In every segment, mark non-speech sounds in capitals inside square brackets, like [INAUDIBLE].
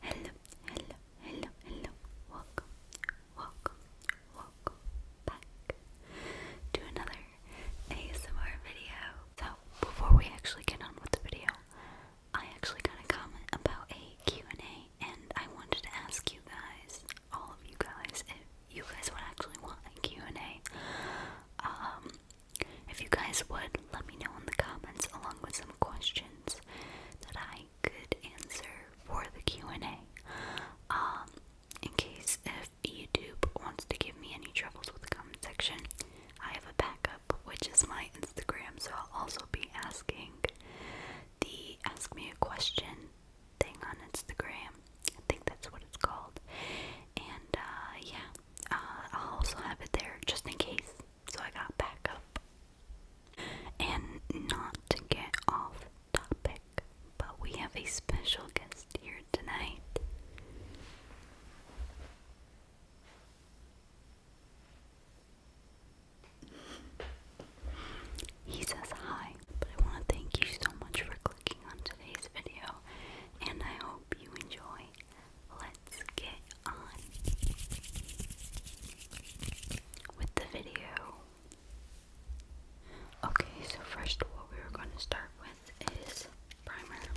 Hello, hello, hello, hello. Welcome, welcome, welcome back to another ASMR video. So, before we actually get on with the video, I actually got a comment about a Q&A and I wanted to ask you guys, all of you guys, if you guys would actually want a Q&A. Um, if you guys would, let me know in the comments along with some questions that I good answer for the Q&A. Um, in case if YouTube wants to give me any troubles with the comment section, I have a backup, which is my Instagram, so I'll also be asking the Ask Me a Question thing on Instagram. I think that's what it's called. And, uh, yeah, uh, I'll also have it there just in case so I got back up. And not to get off topic, but we have a special guest here tonight. He says hi, but I want to thank you so much for clicking on today's video, and I hope you enjoy let's get on with the video. Okay, so first, what we are going to start with is primer. Okay.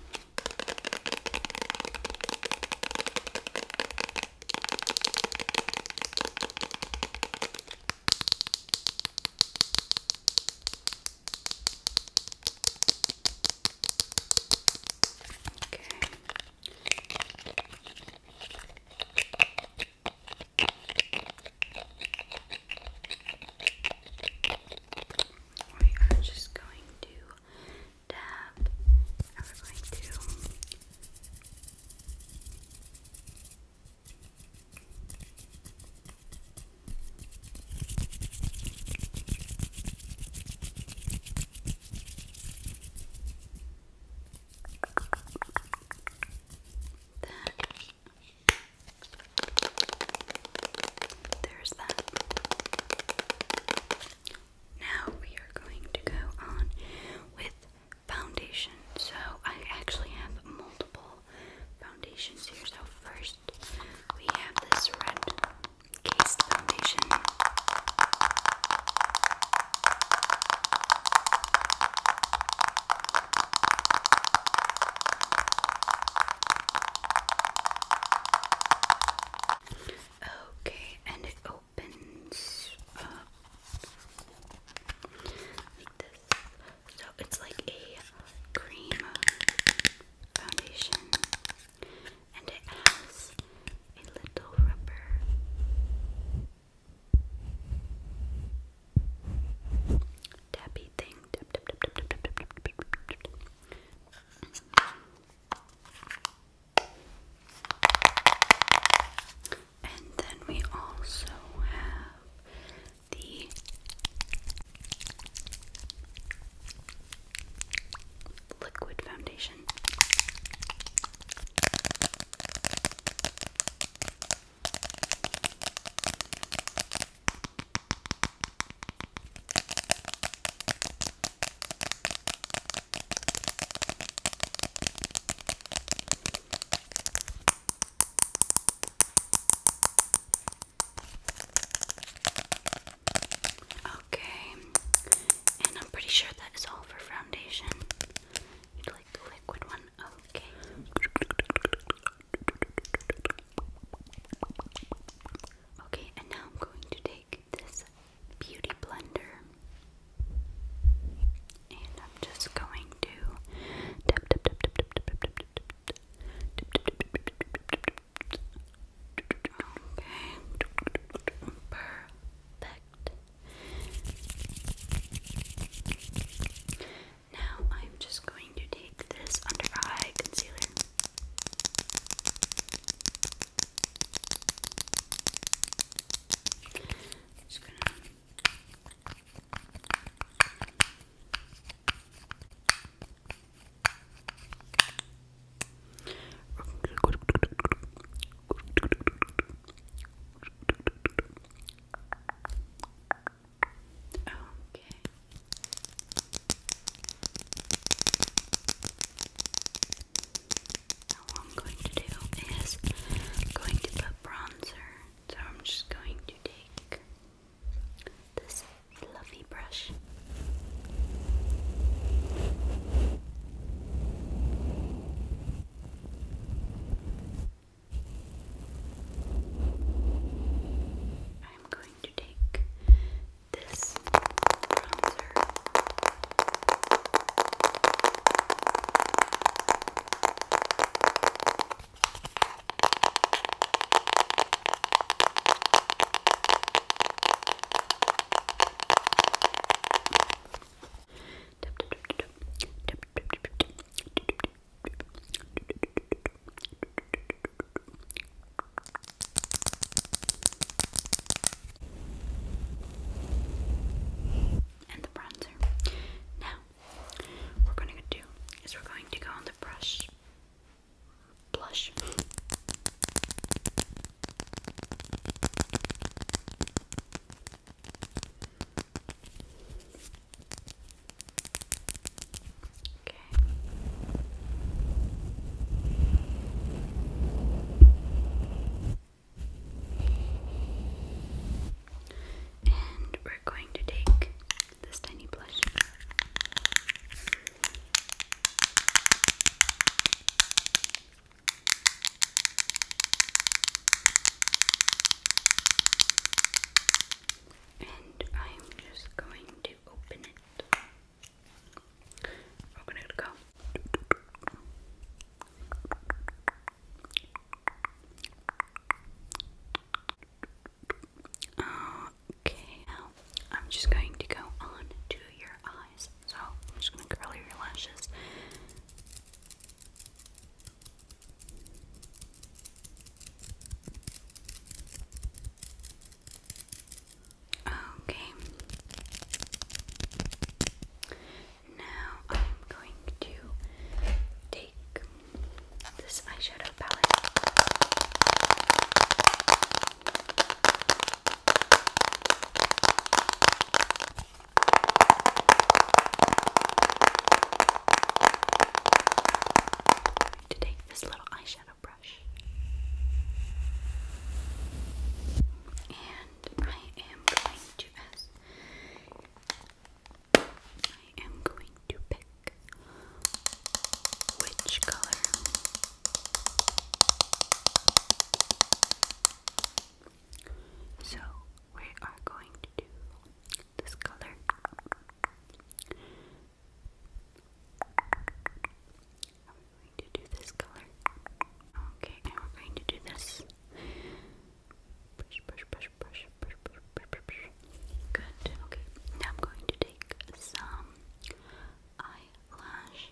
We are just going to tap and we're going to Okay. Then there's that. Now we are going to go on with foundation. So I actually have multiple foundations here. So first we have this red case Okay, and it opens So it's like a cream foundation, and it has a little rubber tappy thing. And then we also have the liquid foundation option. Okay, and I'm pretty sure that is all for foundation. you like the liquid one? Okay. Okay, and now I'm going to take this beauty blender. And I'm just going to Okay. Perfect. Now I'm just going to take this under eye concealer. just gonna Okay. Now what I'm going to do is going to put bronzer. So I'm just going to take this fluffy brush. I'm going to take this bronzer and the bronzer. Now, we're going to do is we're going to go on the brush, blush. Okay. And we're going to take this tiny blush. And I'm just going to open it. We're gonna go. Okay, now I'm just going to go on to your eyes. So I'm just gonna curl your lashes. Okay. Now I'm going to take this eyeshadow palette. To take this little eyeshadow brush, and I am going to pick which color so we are going to do this color. And we going to do this color. Okay, and we're going to do this. Brush, brush, brush, brush, brush, brush, brush, brush. Good. Okay, now I'm going to take some eyelash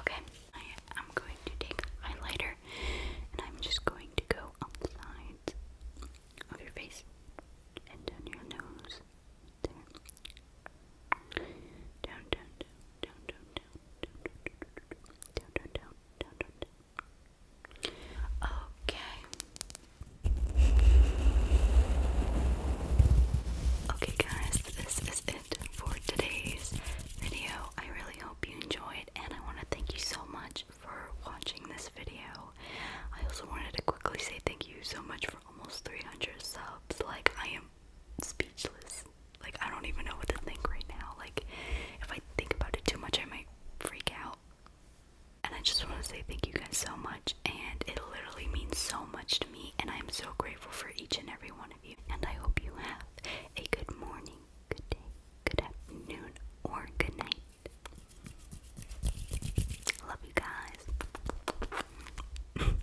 Okay, I am going to take my lighter, and I'm just going to go on the sides of your face and on your nose there. Down, down, down, down, down, down, down, down, down, down, down, down, down. Okay. Okay, guys, this is it for today's video. I really hope you enjoyed, and I want to thank you so much for watching this video. I also wanted to quickly say thank you so much for almost 300 subs. Like, I am speechless. Like, I don't even know what to think right now. Like, if I think about it too much, I might freak out. And I just want to say thank you guys so much. And it literally means so much to me. And I'm so grateful for each and every one of you. And I hope you have a good morning, good day, good afternoon, or good night. Love you guys. [LAUGHS]